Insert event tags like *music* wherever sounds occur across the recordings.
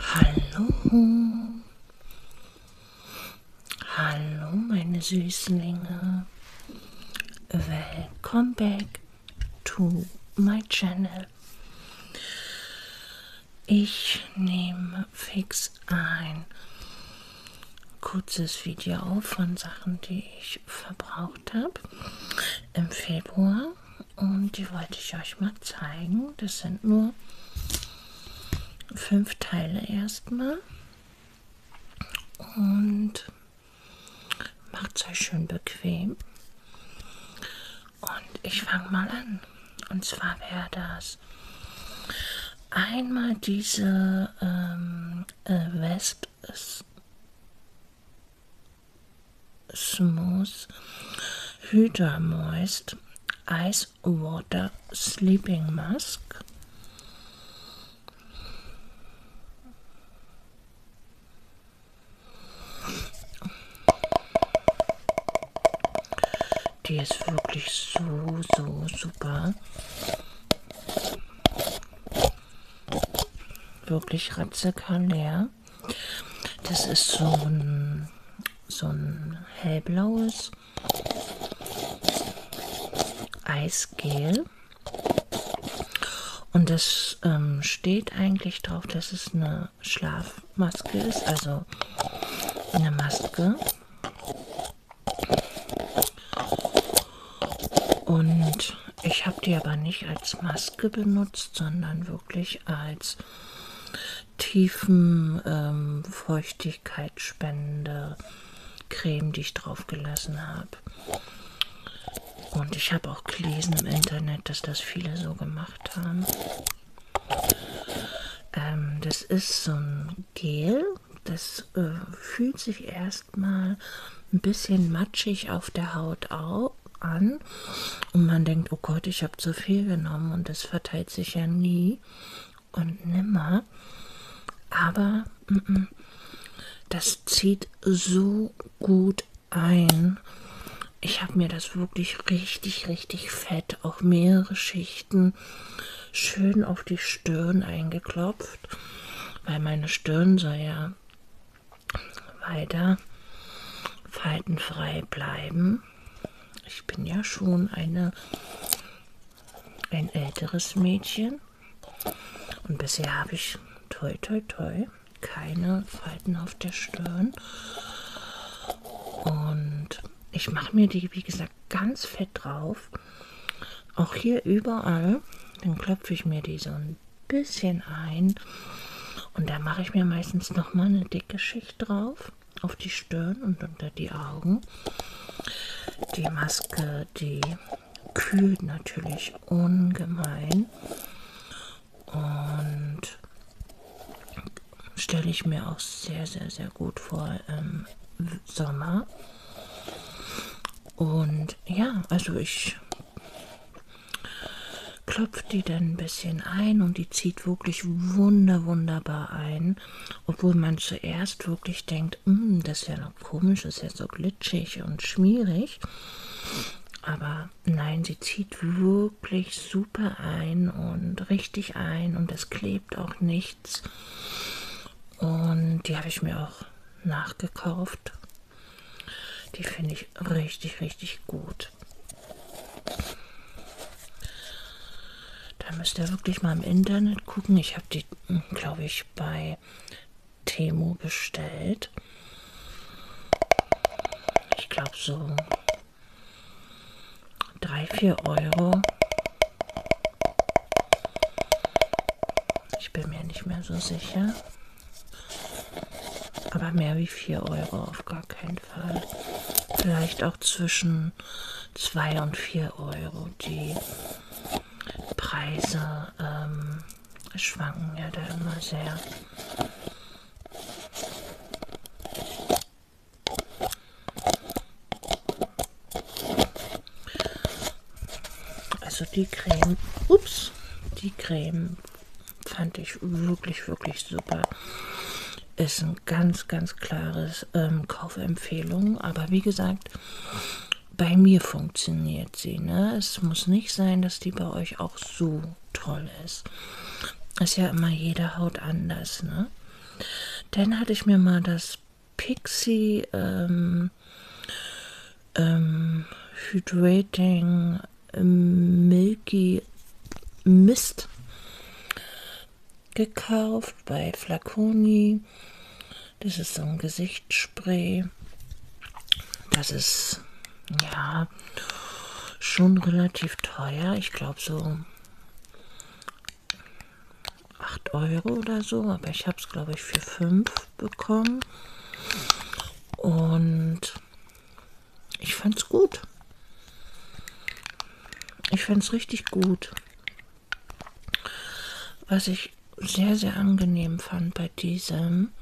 Hallo. Hallo, meine Süßlinge. Welcome back to my channel. Ich nehme fix ein kurzes Video auf von Sachen, die ich verbraucht gemacht habe im Februar. Und die wollte ich euch mal zeigen. Das sind nur fünf Teile erstmal. Und macht es euch schön bequem. Und ich fange mal an. Und zwar wäre das einmal diese ähm, äh, Wesp Smooth, Hydra Moist, Ice Water Sleeping Mask. Die ist wirklich so, so super wirklich ratzecker leer. Das ist so ein, so ein hellblaues Eisgel. Und das ähm, steht eigentlich drauf, dass es eine Schlafmaske ist, also eine Maske. Und ich habe die aber nicht als Maske benutzt, sondern wirklich als tiefen ähm, Feuchtigkeitsspende Creme, die ich drauf gelassen habe. Und ich habe auch gelesen im Internet, dass das viele so gemacht haben. Ähm, das ist so ein Gel, das äh, fühlt sich erst erstmal ein bisschen matschig auf der Haut auf, an und man denkt, oh Gott, ich habe zu viel genommen und das verteilt sich ja nie und nimmer. Aber m -m, das zieht so gut ein. Ich habe mir das wirklich richtig, richtig fett, auch mehrere Schichten, schön auf die Stirn eingeklopft, weil meine Stirn soll ja weiter faltenfrei bleiben. Ich bin ja schon eine, ein älteres Mädchen. Und bisher habe ich, toi toi toi, keine Falten auf der Stirn. Und ich mache mir die, wie gesagt, ganz fett drauf. Auch hier überall. Dann klopfe ich mir die so ein bisschen ein. Und da mache ich mir meistens nochmal eine dicke Schicht drauf, auf die Stirn und unter die Augen. Die Maske, die kühlt natürlich ungemein. Und stelle ich mir auch sehr, sehr, sehr gut vor im Sommer. Und ja, also ich klopfe die dann ein bisschen ein und die zieht wirklich wunder, wunderbar ein. Obwohl man zuerst wirklich denkt, hm, das ist ja noch komisch, das ist ja so glitschig und schmierig. Aber nein, sie zieht wirklich super ein und richtig ein und es klebt auch nichts. Und die habe ich mir auch nachgekauft die finde ich richtig, richtig gut. Da müsst ihr wirklich mal im Internet gucken. Ich habe die, hm, glaube ich, bei Temo bestellt. Ich glaube so 3, 4 Euro. Ich bin mir nicht mehr so sicher. Aber mehr wie 4 Euro auf gar keinen Fall. Vielleicht auch zwischen 2 und 4 Euro. Die Preise ähm, schwanken ja da immer sehr. Also die Creme, ups, die Creme fand ich wirklich, wirklich super. Ist ein ganz, ganz klares ähm, Kaufempfehlung. Aber wie gesagt, bei mir funktioniert sie. Ne? Es muss nicht sein, dass die bei euch auch so toll ist. Ist ja immer jede Haut anders. Ne? Dann hatte ich mir mal das Pixie ähm, ähm, ähm, Hydrating ähm, Milky Mist gekauft bei Flaconi. Das ist so ein Gesichtsspray. Das ist ja schon relativ teuer. Ich glaube so 8 Euro oder so, aber ich habe es glaube ich für 5 bekommen. Und ich fand's gut. Ich fand's richtig gut. Was ich sehr, sehr angenehm fand bei diesem.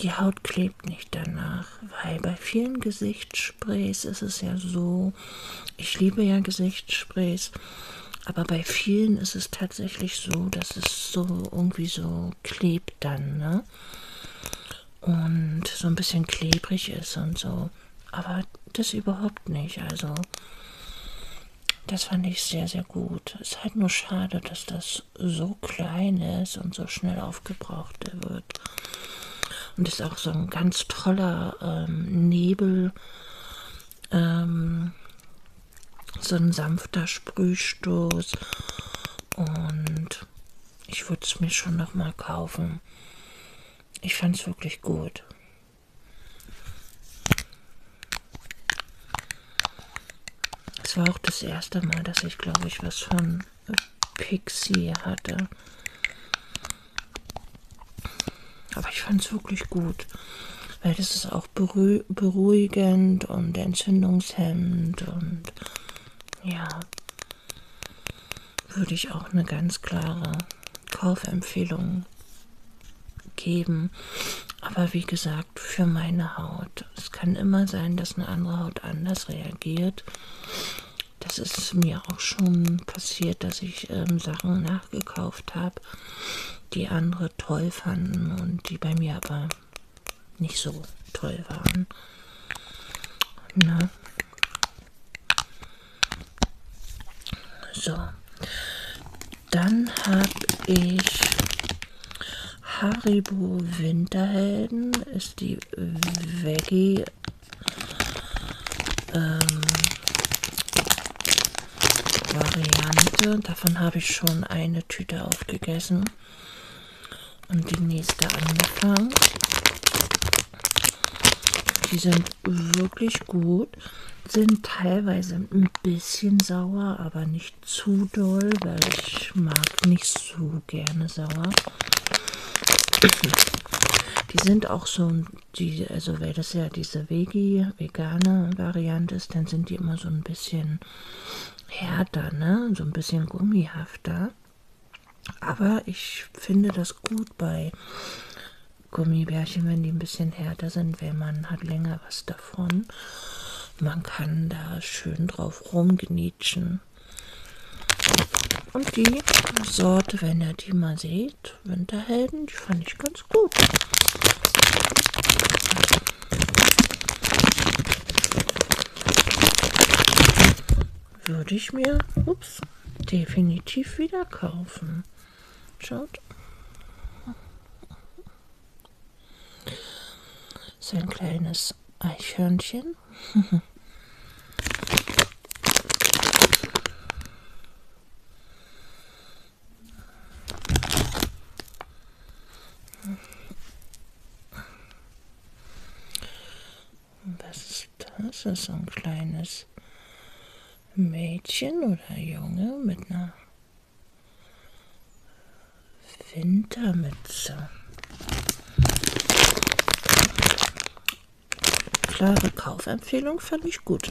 Die Haut klebt nicht danach, weil bei vielen Gesichtern Gesichtssprays ist es ja so. Ich liebe ja Gesichtssprays. Aber bei vielen ist es tatsächlich so, dass es so irgendwie so klebt dann, ne? Und so ein bisschen klebrig ist und so. Aber das überhaupt nicht. Also, das fand ich sehr, sehr gut. Es ist halt nur schade, dass das so klein ist und so schnell aufgebraucht wird und ist auch so ein ganz toller ähm, Nebel, ähm, so ein sanfter Sprühstoß und ich würde es mir schon noch mal kaufen. Ich fand es wirklich gut. Es war auch das erste Mal, dass ich, glaube ich, was von Pixie hatte. Aber ich fand es wirklich gut, weil das ist auch beruh beruhigend und entzündungshemmend und ja, würde ich auch eine ganz klare Kaufempfehlung geben. Aber wie gesagt, für meine Haut. Es kann immer sein, dass eine andere Haut anders reagiert. Das ist mir auch schon passiert, dass ich ähm, Sachen nachgekauft habe, die andere toll fanden und die bei mir aber nicht so toll waren. Na? So, dann habe ich Haribo Winterhelden, ist die Veggie ähm, Variante. Davon habe ich schon eine Tüte aufgegessen und die nächste angefangen. Die sind wirklich gut, sind teilweise ein bisschen sauer, aber nicht zu doll, weil ich mag nicht so gerne sauer. Die sind auch so ein die, also weil das ja diese Vegi, vegane Variante ist, dann sind die immer so ein bisschen härter, ne? so ein bisschen gummihafter. Aber ich finde das gut bei Gummibärchen, wenn die ein bisschen härter sind, weil man hat länger was davon. Man kann da schön drauf rumgenietschen. Und die Sorte, wenn ihr die mal seht, Winterhelden, die fand ich ganz gut. Würde ich mir, ups, definitiv wieder kaufen. Schaut. So ein kleines Eichhörnchen. *laughs* Was ist das? Ist so ein kleines Mädchen oder Junge mit einer Wintermütze. Klare Kaufempfehlung fand ich gut.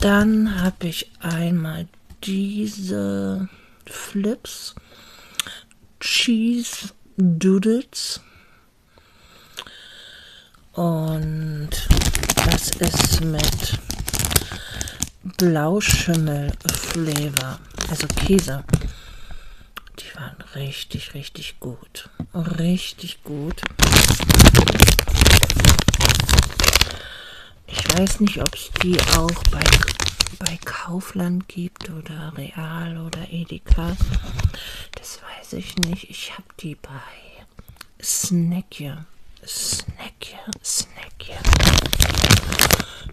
Dann habe ich einmal diese Flips. Cheese Doodles. Und das ist mit Blauschimmel-Flavor, also Käse. Die waren richtig, richtig gut gut. Richtig gut. Ich weiß nicht, ob es die auch bei, bei Kaufland gibt oder Real oder Edeka. Das weiß ich nicht. Ich habe die bei Snackier, Snackier, Snackier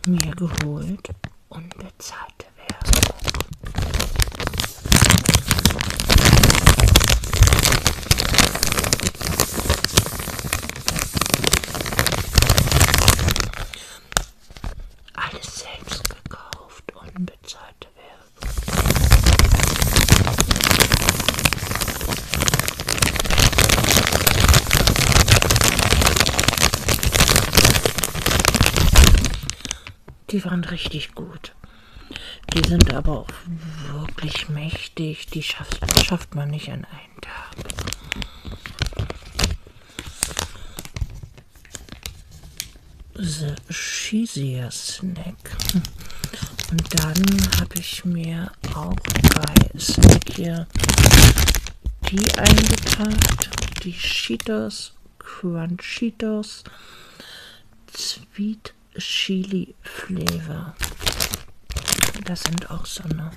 mir geholt und bezahlt alles selbst gekauft, unbezahlte Werbung. Die waren richtig gut. Die sind aber auch wirklich mächtig. Die schafft, schafft man nicht an einem Tag. The Cheesier Snack. Und dann habe ich mir auch bei Snack hier die eingepackt. Die Cheetos, Crunchitos. Sweet Chili Flavor. Das sind auch so eine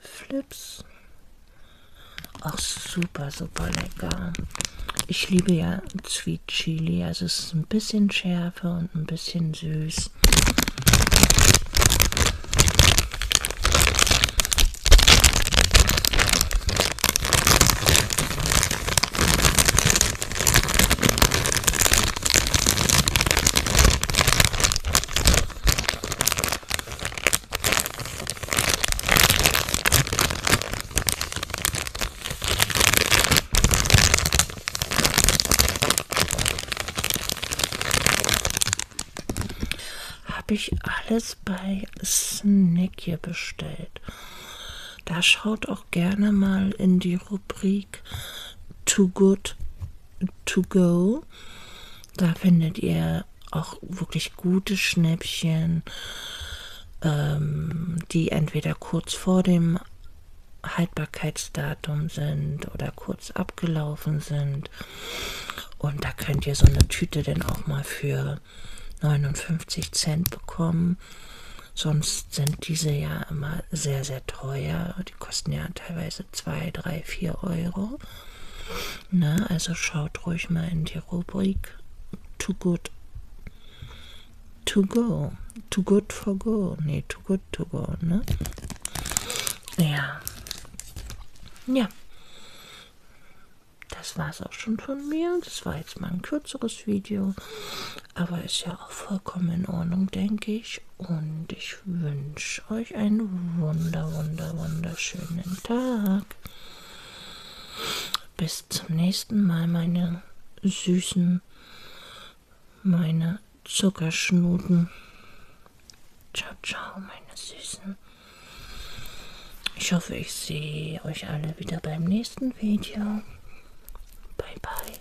Flips. Auch super, super lecker. Ich liebe ja Sweet Chili. Also es ist ein bisschen Schärfe und ein bisschen süß. Habe ich alles das bei Snackie bestellt. Da schaut auch gerne mal in die Rubrik Too Good To Go. Da findet ihr auch wirklich gute Schnäppchen, ähm, die entweder kurz vor dem Haltbarkeitsdatum sind oder kurz abgelaufen sind. Und da könnt ihr so eine Tüte denn auch mal für 59 Cent bekommen. Sonst sind diese ja immer sehr, sehr teuer. Die kosten ja teilweise 2, 3, 4 Euro. Na, also schaut ruhig mal in die Rubrik Too Good To Go. Too Good for Go. Nee, Too Good to Go, ne? Ja. Ja das war's auch schon von mir. Das war jetzt mal ein kürzeres Video, aber ist ja auch vollkommen in Ordnung, denke ich. Und ich wünsche euch einen wunder, wunder, wunderschönen Tag. Bis zum nächsten Mal, meine Süßen, meine Zuckerschnuten. Ciao, ciao, meine Süßen. Ich hoffe, ich sehe euch alle wieder beim nächsten Video. Bye, bye.